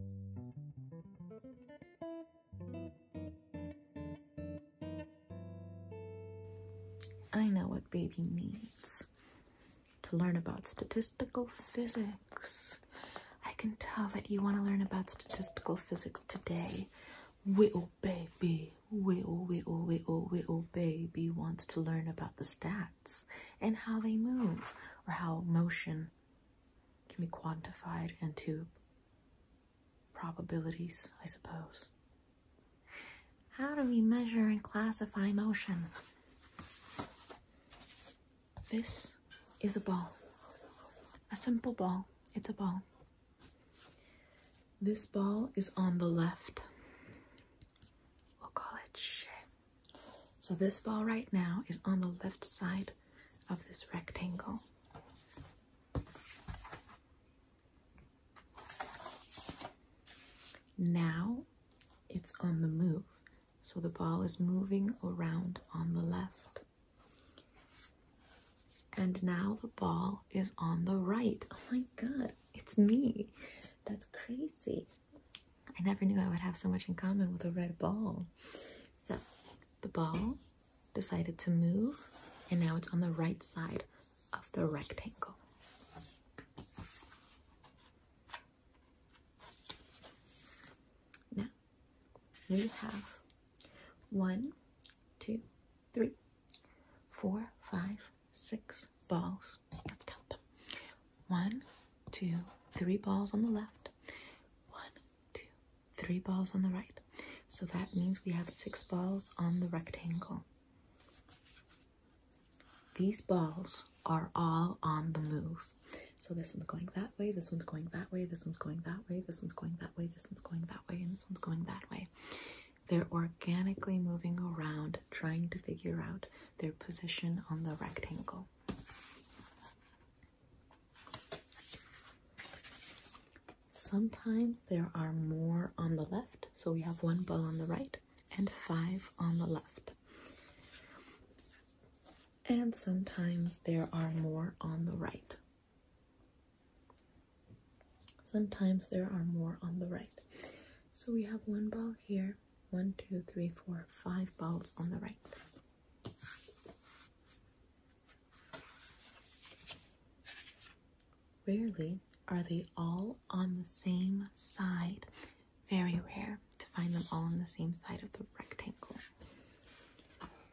I know what baby needs to learn about statistical physics. I can tell that you want to learn about statistical physics today. Whittle baby, whittle, whittle, whittle, whittle baby wants to learn about the stats and how they move or how motion can be quantified into probabilities, I suppose. How do we measure and classify motion? This is a ball. A simple ball. It's a ball. This ball is on the left. We'll call it shape. So this ball right now is on the left side of this rectangle. Now it's on the move. So the ball is moving around on the left. And now the ball is on the right. Oh my god, it's me. That's crazy. I never knew I would have so much in common with a red ball. So the ball decided to move, and now it's on the right side of the rectangle. Now we have one, two, three, four, five, six balls. Let's count them. One, two, three balls on the left, one, two, three balls on the right. So that means we have six balls on the rectangle. These balls are all on the move. So this one's going that way, this one's going that way, this one's going that way, this one's going that way, this one's going that way, and this one's going that way. They're organically moving around, trying to figure out their position on the rectangle. Sometimes there are more on the left, so we have one ball on the right and five on the left. And sometimes there are more on the right. Sometimes there are more on the right. So we have one ball here, one, two, three, four, five balls on the right. Rarely are they all on the same side. Very rare to find them all on the same side of the rectangle.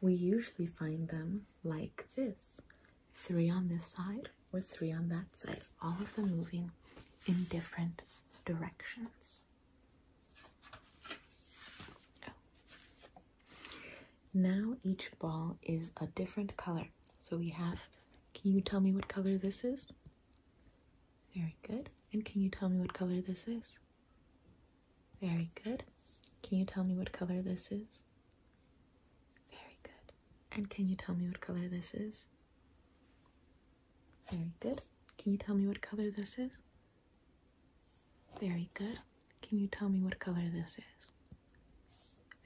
We usually find them like this three on this side or three on that side, all of them moving in different directions. Now each ball is a different color. So we have, can you tell me what color this is? Very good. And can you tell me what color this is? Very good. Can you tell me what color this is? Very good. And can you tell me what color this is? Very good. Can you tell me what color this is? Very good. Can you tell me what color this is?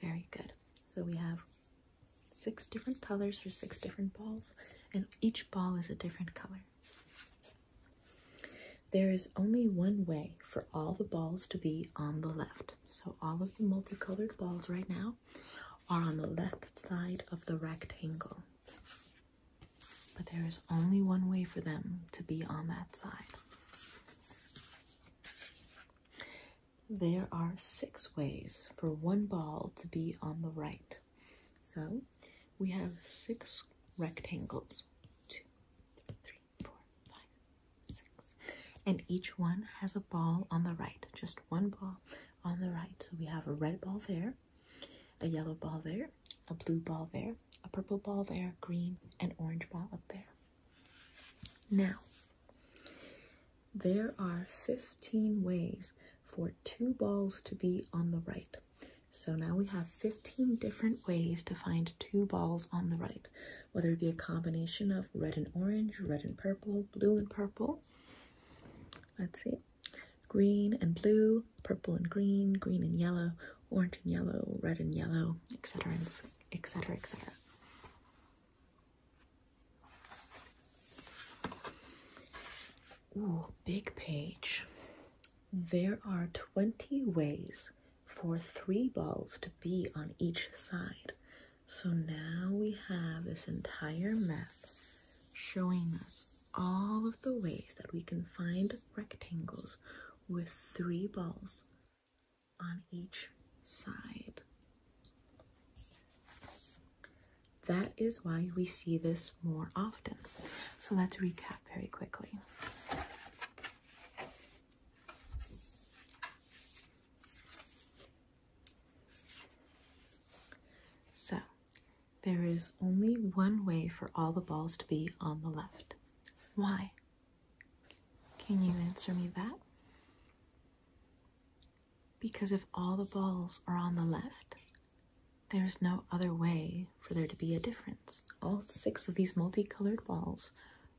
Very good. So we have six different colors for six different balls, and each ball is a different color. There is only one way for all the balls to be on the left. So all of the multicolored balls right now are on the left side of the rectangle. But there is only one way for them to be on that side. There are six ways for one ball to be on the right. So we have six rectangles. Two, three, four, five, six. And each one has a ball on the right. Just one ball on the right. So we have a red ball there, a yellow ball there, a blue ball there, a purple ball there, green, and orange ball up there. Now, there are 15 ways for two balls to be on the right. So now we have 15 different ways to find two balls on the right, whether it be a combination of red and orange, red and purple, blue and purple. Let's see green and blue, purple and green, green and yellow, orange and yellow, red and yellow, etc., etc., etc. Ooh, big page. There are 20 ways for three balls to be on each side. So now we have this entire map showing us all of the ways that we can find rectangles with three balls on each side. That is why we see this more often. So let's recap very quickly. So there is only one way for all the balls to be on the left. Why? Can you answer me that? Because if all the balls are on the left, there's no other way for there to be a difference. All six of these multicolored balls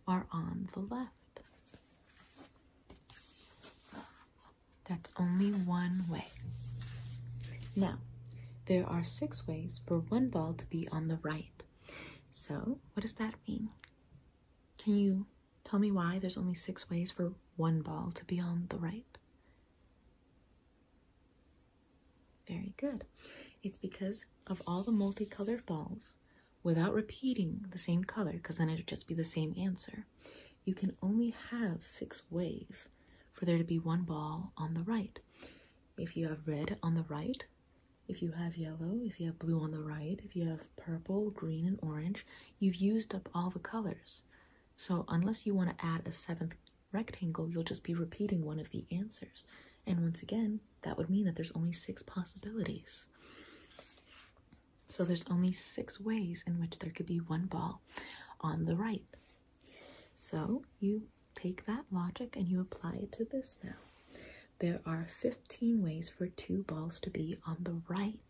are on the left. That's only one way. Now, there are six ways for one ball to be on the right. So, what does that mean? Can you tell me why there's only six ways for one ball to be on the right? Very good. It's because of all the multicolored balls without repeating the same color, because then it would just be the same answer you can only have six ways for there to be one ball on the right. If you have red on the right, if you have yellow, if you have blue on the right, if you have purple, green, and orange, you've used up all the colors. So unless you want to add a seventh rectangle, you'll just be repeating one of the answers. And once again, that would mean that there's only six possibilities. So there's only six ways in which there could be one ball on the right. So you take that logic and you apply it to this now. There are 15 ways for two balls to be on the right.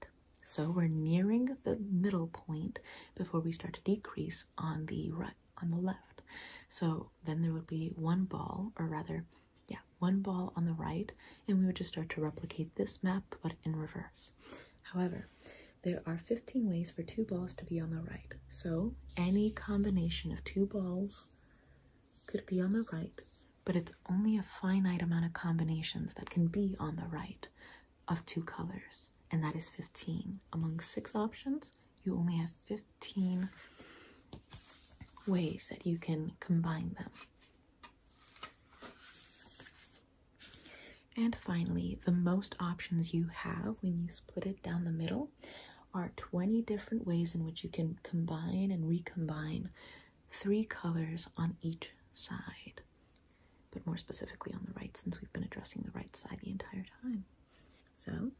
So we're nearing the middle point before we start to decrease on the right on the left. So then there would be one ball or rather yeah, one ball on the right and we would just start to replicate this map but in reverse. However, there are 15 ways for two balls to be on the right. So any combination of two balls could be on the right, but it's only a finite amount of combinations that can be on the right of two colors, and that is 15. Among six options, you only have 15 ways that you can combine them. And finally, the most options you have when you split it down the middle are 20 different ways in which you can combine and recombine three colors on each side, but more specifically on the right since we've been addressing the right side the entire time. So,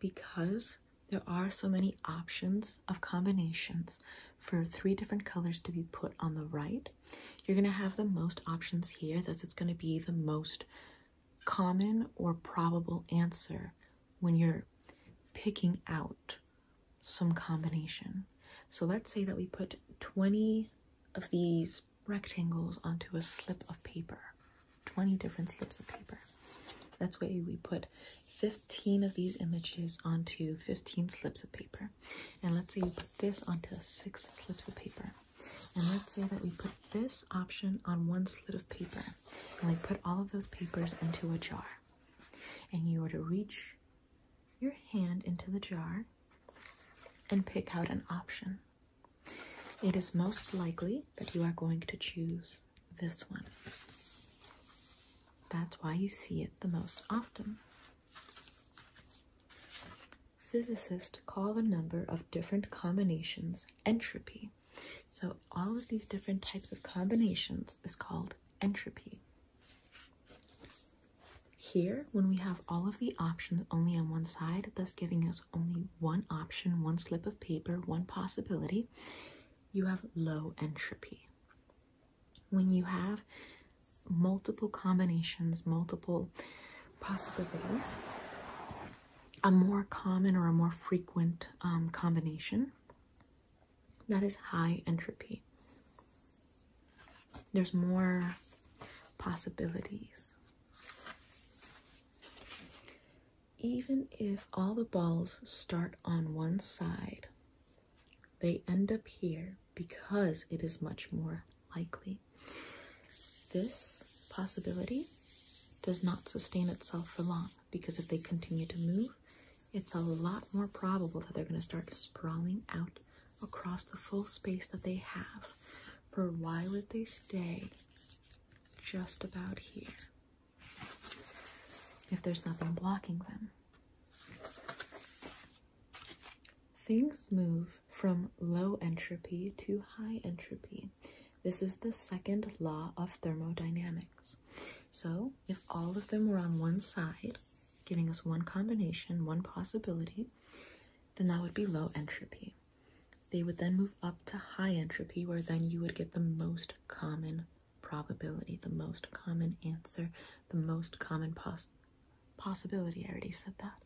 because there are so many options of combinations for three different colors to be put on the right, you're going to have the most options here. Thus, it's going to be the most common or probable answer when you're picking out some combination. So let's say that we put 20 of these rectangles onto a slip of paper, 20 different slips of paper. That's why we put 15 of these images onto 15 slips of paper. And let's say you put this onto six slips of paper. And let's say that we put this option on one slip of paper. And we put all of those papers into a jar. And you were to reach your hand into the jar and pick out an option. It is most likely that you are going to choose this one. That's why you see it the most often. Physicists call a number of different combinations entropy. So, all of these different types of combinations is called entropy. Here, when we have all of the options only on one side, thus giving us only one option, one slip of paper, one possibility, you have low entropy when you have multiple combinations, multiple possibilities, a more common or a more frequent um, combination that is high entropy. There's more possibilities. Even if all the balls start on one side, they end up here because it is much more likely. This possibility does not sustain itself for long because if they continue to move, it's a lot more probable that they're going to start sprawling out across the full space that they have. For why would they stay just about here if there's nothing blocking them? Things move from low entropy to high entropy. This is the second law of thermodynamics. So, if all of them were on one side, giving us one combination, one possibility, then that would be low entropy. They would then move up to high entropy, where then you would get the most common probability, the most common answer, the most common pos possibility, I already said that,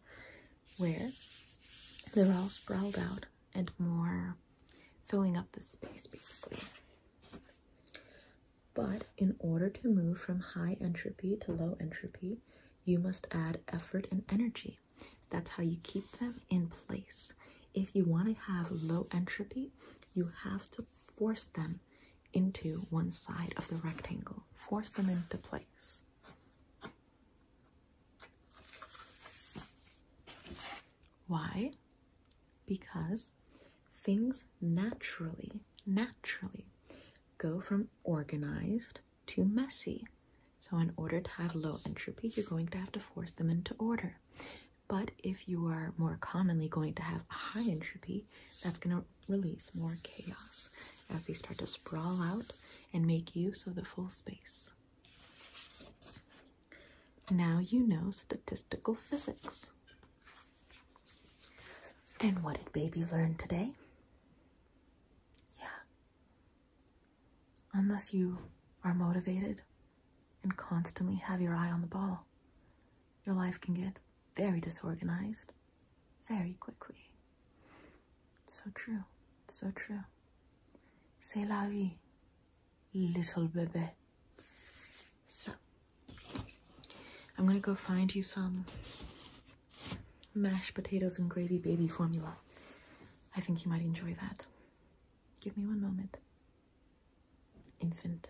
where they're all sprawled out and more filling up the space basically. But in order to move from high entropy to low entropy, you must add effort and energy. That's how you keep them in place. If you want to have low entropy, you have to force them into one side of the rectangle, force them into place. Why? Because things naturally, naturally go from organized to messy. So, in order to have low entropy, you're going to have to force them into order. But if you are more commonly going to have high entropy, that's going to release more chaos as they start to sprawl out and make use of the full space. Now you know statistical physics. And what did baby learn today? Yeah. Unless you are motivated and constantly have your eye on the ball, your life can get very disorganized very quickly. It's so true. It's so true. C'est la vie, little bebe. So, I'm gonna go find you some mashed potatoes and gravy baby formula. I think you might enjoy that. Give me one moment. Infant.